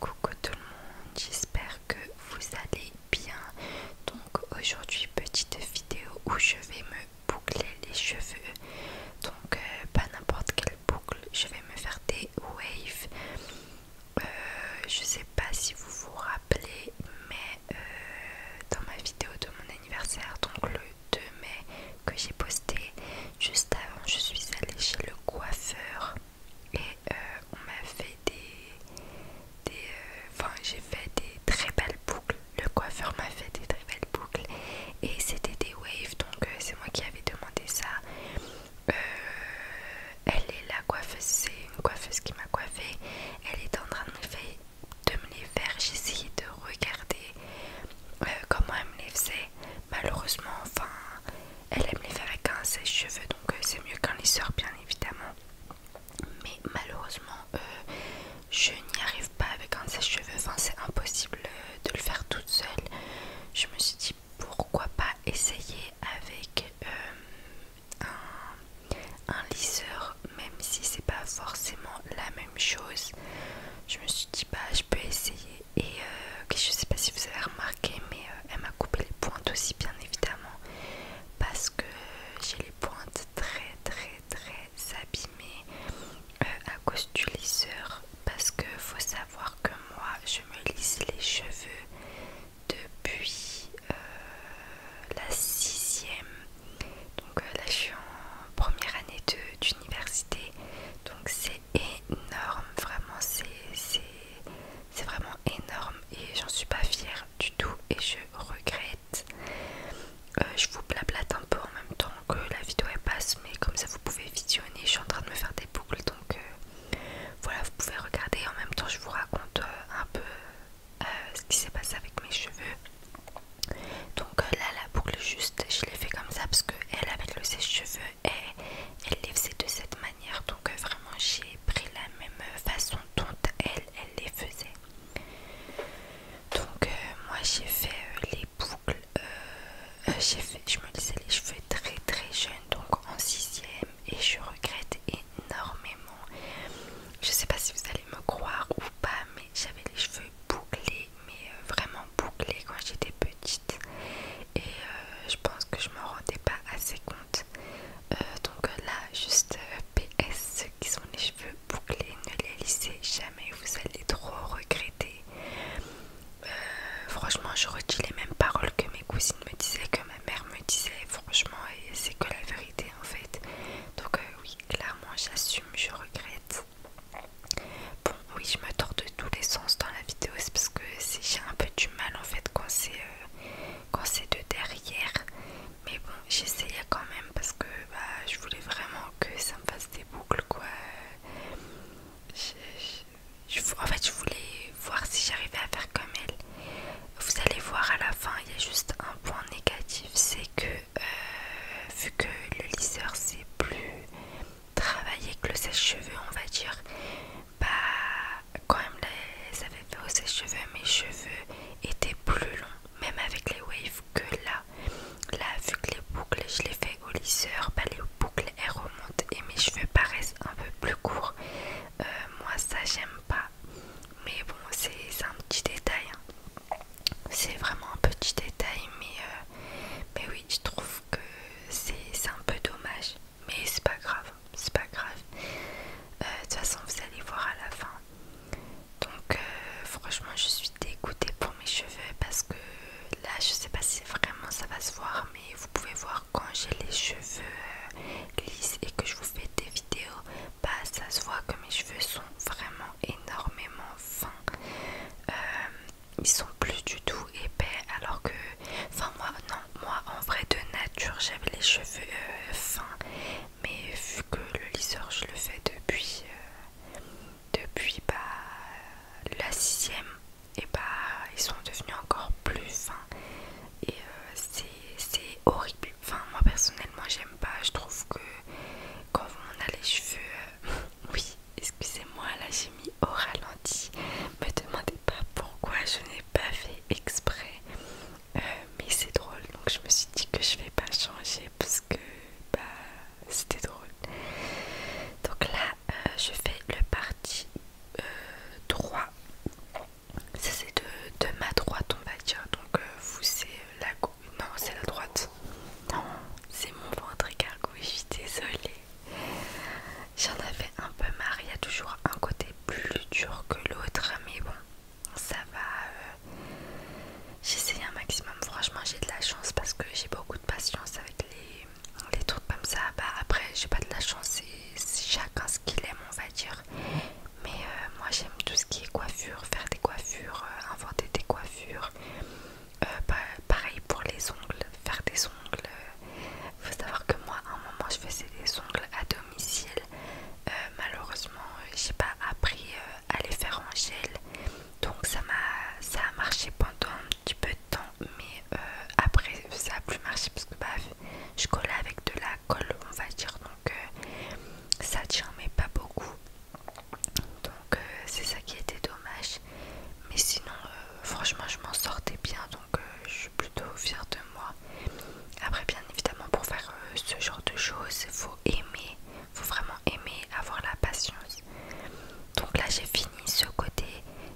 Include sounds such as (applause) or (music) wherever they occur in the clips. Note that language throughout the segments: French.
Coucou tout le monde, j'espère que vous allez bien. Donc aujourd'hui petite vidéo où je vais me boucler les cheveux. Donc euh, pas n'importe quelle boucle, je vais me faire des waves. Euh, je sais pas si vous vous rappelez, mais euh, dans ma vidéo de mon anniversaire, donc le 2 mai que j'ai posté, juste avant je suis allée chez le coiffeur et euh, on m'a fait des... des euh, enfin j'ai fait des très belles boucles, le coiffeur m'a fait des très belles boucles et c'était des waves donc euh, c'est moi qui avais demandé ça. elle est la coiffeuse, c'est une coiffeuse qui m'a coiffée, elle est en train de me, de les faire, j'ai de regarder comment elle me les faisait malheureusement, enfin, elle aime les faire avec un sèche-cheveux, donc euh, c'est mieux qu'un lisseur, bien évidemment. Mais malheureusement, euh, je n'y arrive pas avec un sèche-cheveux, enfin, c'est impossible euh, de le faire toute seule. Je me suis dit pourquoi pas essayer avec un, un lisseur, même si c'est pas forcément la même chose. Je me suis dit, bah, je peux essayer et je euh, je sais pas si vous avez remarqué, mais euh, elle m'a coupé les pointes aussi, bien évidemment, parce que j'ai les pointes très très très abîmées euh, à cause du lisseur. Parce que faut savoir que moi, je me lisse les cheveux depuis la sixième. Donc là, je suis en première année d'université. Donc c'est énorme, vraiment c'est vraiment énorme et j'en suis pas fière du tout et je regrette. Euh, je vous blablate un peu en même temps que la vidéo est passe mais comme ça vous pouvez visionner, je suis en train de me faire des boucles donc euh, voilà vous pouvez regarder en même temps je vous raconte euh, un peu ce qui s'est passé avec mes cheveux. Donc euh, là la boucle juste je l'ai fait comme ça parce que elle avec le sèche-cheveux elle, les faisait de cette manière donc euh, vraiment j'ai pris la même façon dont elle, elle les faisait. Donc euh, moi j'ai fait les boucles, j'ai fait, je me disais les cheveux très très jeune donc en sixième et je regrette énormément. Je sais pas si vous allez me croire ou pas mais j'avais les cheveux bouclés, mais euh, vraiment bouclés quand j'étais petite. Et euh, je pense que je m'en rendais pas assez compte. Euh, donc là, juste PS, ceux qui sont les cheveux bouclés, ne les lissez jamais, vous allez trop regretter. franchement, je redis les mêmes paroles que mes cousines me disaient, que ma mère me disait, franchement, et c'est que la vérité en fait. Donc, oui, clairement, j'assume, je regrette. Bon oui je me de tous les sens dans la vidéo c'est parce que j'ai un peu du mal en fait quand c'est euh, c'est de derrière mais bon j'essayais quand même parce que bah, je voulais vraiment que ça me fasse des boucles quoi en fait je voulais voir si j'arrivais à faire comme elle vous allez voir à la fin il y a juste un point négatif c'est que euh, vu que le lisseur c'est plus travaillé que le sèche-cheveux on va dire bah quand même les avait fait au sèche-cheveux mes cheveux étaient plus longs même avec les waves que là là vu que les boucles je les fais au lisseur bah les boucles elles remontent et mes cheveux paraissent un peu plus courts euh, moi ça j'aime pas mais bon, c'est un petit détail. Hein. C'est vraiment un petit détail, mais, euh, mais oui, je trouve que c'est un peu dommage. Mais c'est pas grave, c'est pas grave. Euh, de toute façon, vous allez voir à la fin. Donc, euh, franchement, je suis dégoûtée pour mes cheveux parce que là, je sais pas si vraiment ça va se voir, mais vous pouvez voir quand j'ai les cheveux lisses et que je vous fais des vidéos bah, ça se voit que mes cheveux sont vraiment énormément fins. Euh, ils sont plus du tout épais alors que enfin moi non moi en vrai de nature j'avais les cheveux euh, fins mais vu que le lisseur je le fais depuis euh, depuis bah la sixième et bah ils sont devenus encore plus fins et c'est horrible Enfin, moi personnellement, j'aime pas. Je trouve que quand on a les cheveux. Euh, (laughs) oui, excusez-moi, là j'ai mis au ralenti. Me demandez pas pourquoi je n'ai pas fait exprès. Euh, mais c'est drôle, donc je me suis dit que je vais pas changer parce que bah, c'était drôle. Donc là, euh, je fais le parti 3 ça c'est de, ma droite on va dire. Donc euh, vous c'est la gauche. Non c'est la droite. Non, c'est mon ventre je suis désolée. J'en avais un peu marre, il y a toujours un côté plus dur que l'autre, mais bon, ça va. Euh, j'essaye un maximum, franchement j'ai de la chance parce que j'ai beaucoup de patience avec les, trucs comme ça. Bah, après j'ai pas de la chance, c'est chacun ce qu'il aime on va dire. Mais euh, moi j'aime tout ce qui est coiffure, faire des coiffures, euh, inventer des coiffures. Euh, pareil pour les ongles, faire des ongles. faut savoir que moi à un moment je faisais des ongles à domicile. malheureusement j'ai pas appris à les faire en gel. Donc ça m'a ça a marché pendant un petit peu de temps. Mais après ça a plus marché parce que bah, je collais avec de la colle on va dire donc euh, ça tient mais pas beaucoup donc euh, c'est ça qui était dommage mais sinon euh, franchement je m'en sortais bien donc je suis plutôt fière de moi après bien évidemment pour faire ce genre de choses faut aimer faut vraiment aimer avoir la patience donc là j'ai fini ce côté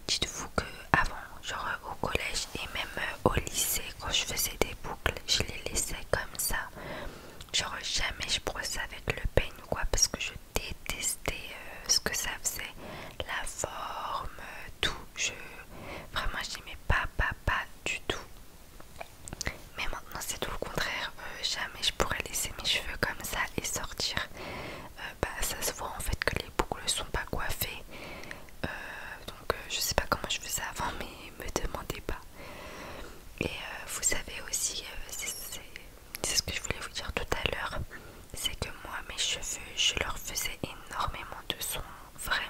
dites-vous que avant, genre au collège et même euh, au lycée, quand je faisais des boucles, je les laissais comme ça. Genre jamais je brossais avec le peigne ou quoi, parce que je détestais euh, ce que ça faisait, la forme, tout. Je, vraiment, j'aimais pas, pas, pas du tout. Mais maintenant, c'est tout le contraire. Euh, jamais je pourrais laisser mes cheveux comme ça et sortir. Euh, bah, ça se voit en fait que les boucles sont pas coiffées. Euh, donc euh, je sais pas comment je faisais avant, mais (laughs) me demandez pas. Et vous savez aussi, c'est ce que je voulais vous dire tout à l'heure, c'est que moi mes cheveux, je leur faisais énormément de soins, vraiment.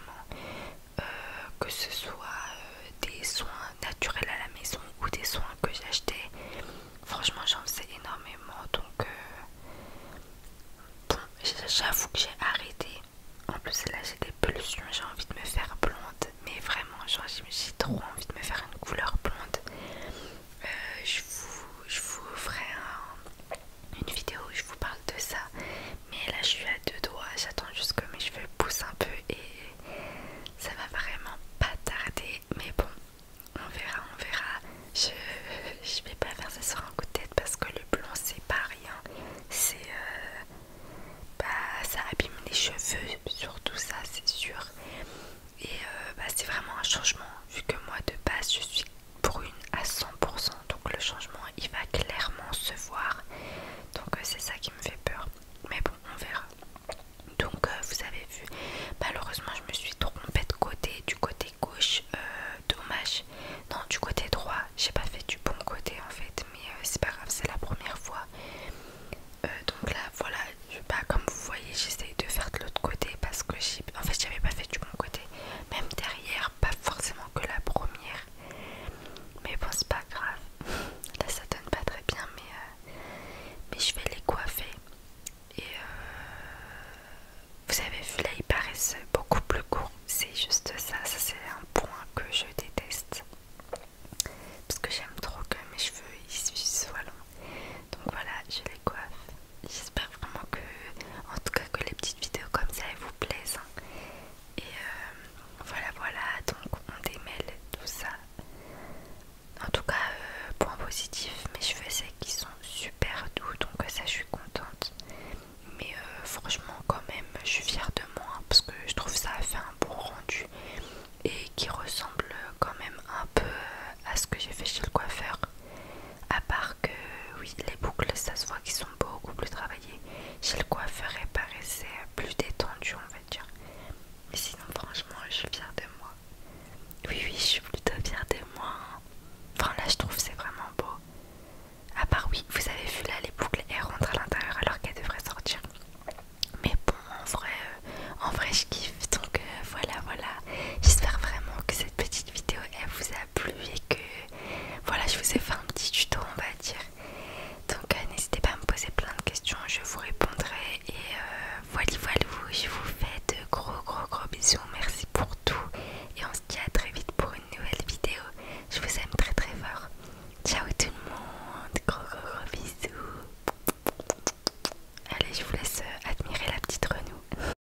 que ce soit des soins naturels à la maison ou des soins que j'achetais Franchement, j'en sais énormément donc, euh, bon, j'avoue que j'ai arrêté. En plus, là, j'ai des pulsions, j'ai envie de me faire blonde, mais vraiment, j'ai trop envie de me faire une couleur blonde. Euh, je, vous, ferai une vidéo où je vous parle de ça, mais là, je suis à deux doigts, j'attends juste que mes cheveux poussent un peu et ça va vraiment pas tarder mais bon, on verra, on verra. Je, vais pas faire ça sur un coup de tête parce que le blond c'est pas rien. C'est euh, bah ça abîme les cheveux, surtout ça c'est sûr. Et euh, bah, c'est vraiment un changement vu que moi de base je suis brune à 100%, donc le changement il va clairement se voir. Donc euh, c'est ça qui me fait peur. Mais bon, on verra donc euh, vous avez vu malheureusement je me suis trompée de côté du côté gauche euh, dommage non du côté droit j'ai pas fait du bon côté en fait mais euh, c'est pas grave c'est la première fois donc là voilà je, bah, comme vous voyez j'essaye de faire de l'autre côté parce que j'ai en fait j'avais pas fait du bon côté même derrière pas forcément que la première mais bon c'est pas grave (laughs) là ça donne pas très bien mais, mais je vais les coiffer et euh, vous avez vu là, ils paraissent beaucoup plus courts. C'est juste ça, ça c'est un point que je déteste. Parce que j'aime trop que mes cheveux ils soient longs. Donc voilà, je les coiffe. J'espère vraiment que, en tout cas que les petites vidéos comme ça elles vous plaisent. Hein. Et euh, voilà, voilà, donc on démêle tout ça. En tout cas, euh, point positif, mes cheveux c'est qu'ils sont super doux, donc ça je suis contente. Mais euh, franchement, quand même, je suis fière de moi parce que je trouve ça a fait un bon rendu et qui ressemble quand même un peu euh, à ce que j'ai fait chez le coiffeur. À part que, oui, les boucles, ça se voit qu'ils sont beaucoup plus travaillées. Chez le coiffeur, elles paraissaient plus détendues, on va dire. Mais sinon, franchement, je suis fière de moi. Oui, oui, je suis plutôt fière de moi. Hein. Enfin, là, je trouve c'est vraiment beau. À part, oui, vous avez vu là, les boucles, elles rentrent à l'intérieur alors qu'elles devraient sortir. Mais bon, en vrai, euh, en vrai je kiffe. Donc euh, voilà, voilà. J'espère vraiment que cette petite vidéo, elle vous a plu et que, voilà, je vous ai fait un petit tuto, on va dire. Donc euh, n'hésitez pas à me poser plein de questions, je vous répondrai. Et euh, voilà, voilà, je vous fais de gros gros gros bisous. Merci pour tout. Et on se dit à très vite pour une nouvelle vidéo. Je vous aime très très fort. Ciao tout le monde. Gros gros gros bisous. Allez, je vous laisse euh, admirer la petite renoue